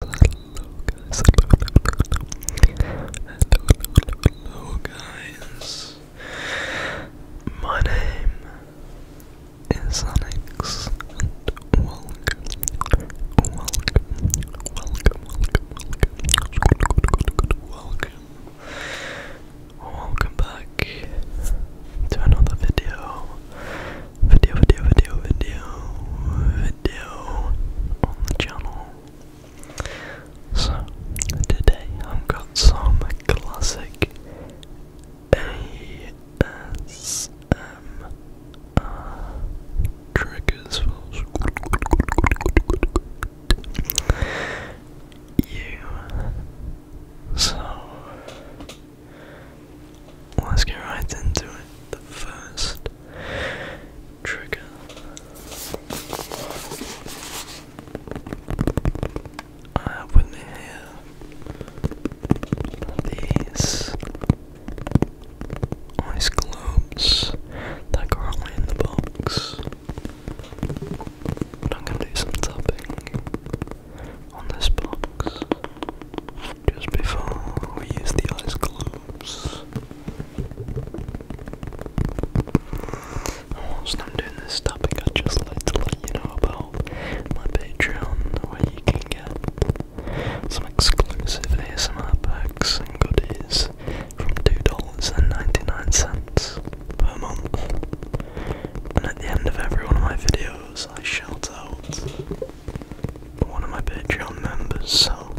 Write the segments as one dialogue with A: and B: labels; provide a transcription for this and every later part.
A: Hello guys, hello, guys. My name is Alex, and welcome, welcome, welcome, welcome, welcome, welcome, welcome back to another video video, video, video, video, video on the channel. So, today I've got some classic ASMR triggers for you. So, Let's get right into it. The first trigger. I have with here these ice globes that are currently in the box. But I'm gonna do some tapping on this box just before we use the ice globes. Whilst oh, I'm doing this topic, i just like to let you know about my Patreon, where you can get some exclusive ASMR packs and goodies from $2.99 per month. And at the end of every one of my videos, I shout out one of my Patreon members, so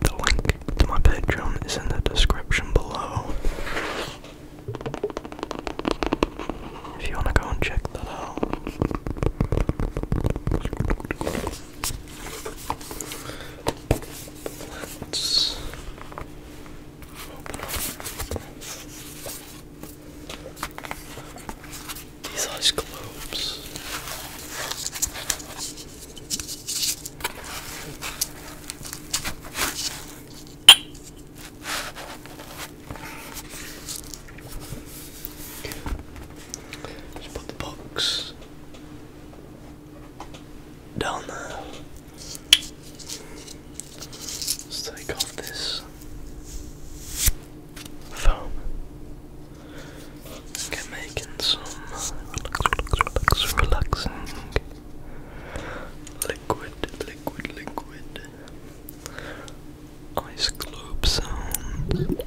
A: the link to my Patreon is in the description below. If you want to go and check that out. Let's these ice globes. put the box down there. Let's take off this foam. Okay, making some relaxing liquid, liquid, liquid ice globe sounds.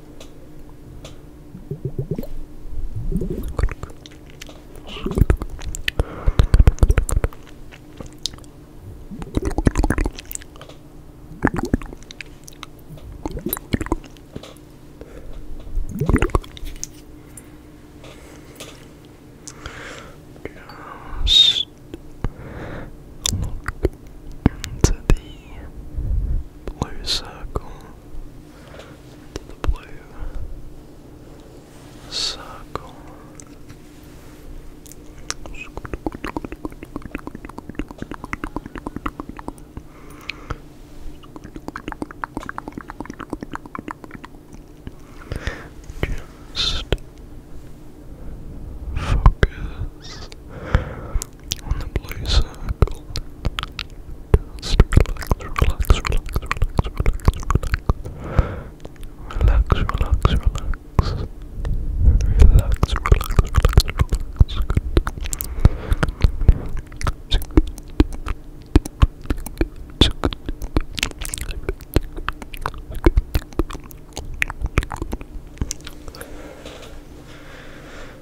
A: Just look into the blue circle to the blue circle. Just focus on the blue Just relax, relax, relax, relax, relax, relax, relax, relax, relax, relax, relax, relax. Good.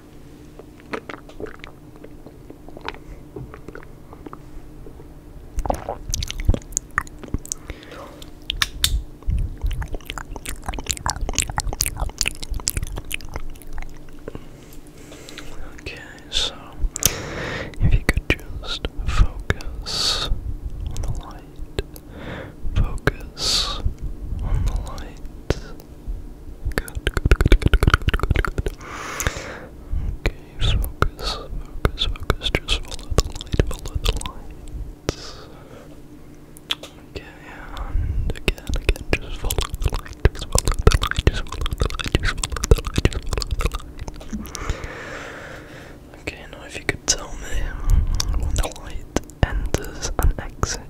A: Okay, so if you could just focus on the light, focus on the light, Okay, focus, focus, focus. Just follow the light, follow the light. Okay, and again, again, just follow the light, just follow the light, just follow the light, just follow the light, Okay, now if you could tell me when the light enters and exits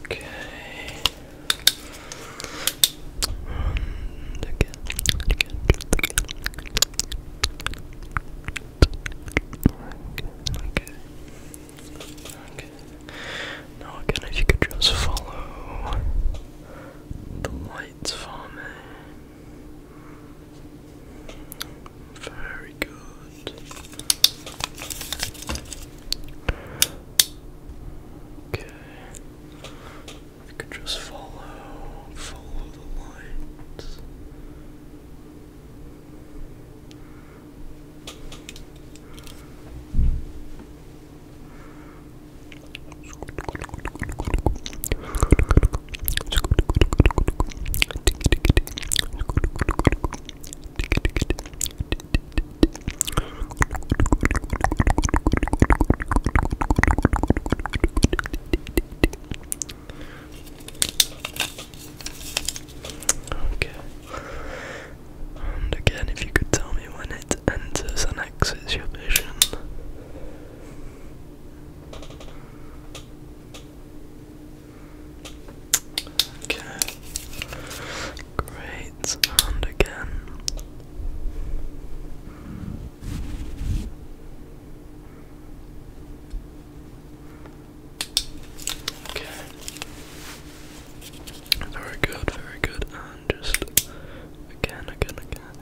A: Okay. And again, again. Okay. Okay. Now again, if you could just follow the lights for me. Very good. Okay. I could just follow, follow the lights. Okay. And again, if you could tell me when it enters and exits your vision. Okay. Great sound again. Okay. Very good, very good. And just again, again, again.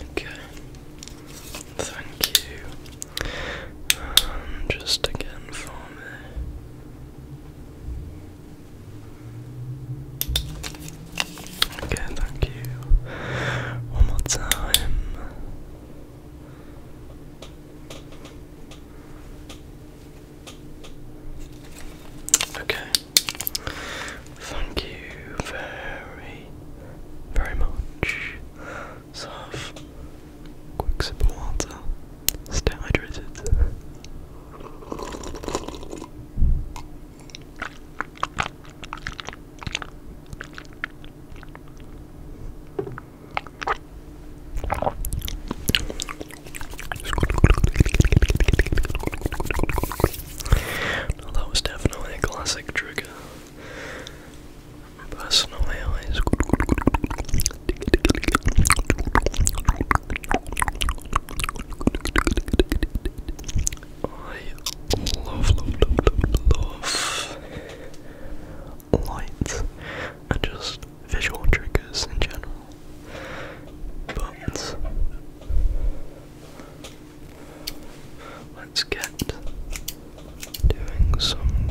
A: Okay. Thank you. Um, just again for me. Okay, thank you. One more time. Okay. Thank you very, very much serve. Quick sip of water. Stay hydrated. that was definitely a classic trick. Personally, I love, love, love, love, love and just visual triggers in general. But let's get doing some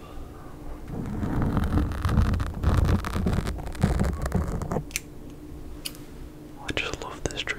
A: I just love this trigger.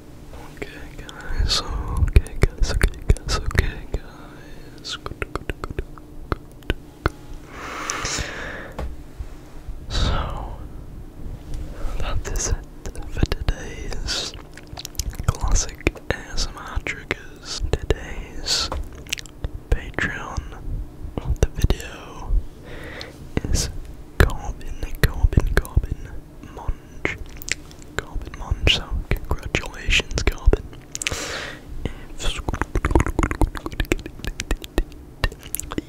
A: Okay guys, okay guys, okay guys, okay guys. So, that is it for today's classic ASMR triggers. Today's Patreon the video is Corbin, Corbin, Corbin. Mon Carbon Munch, so congratulations, Carbon.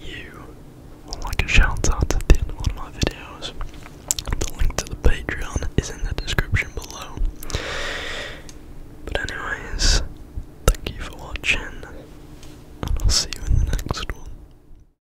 A: you like a shout at the end of one of my videos, the link to the Patreon is in the description below. But, anyways, thank you for watching, and I'll see you in the next one.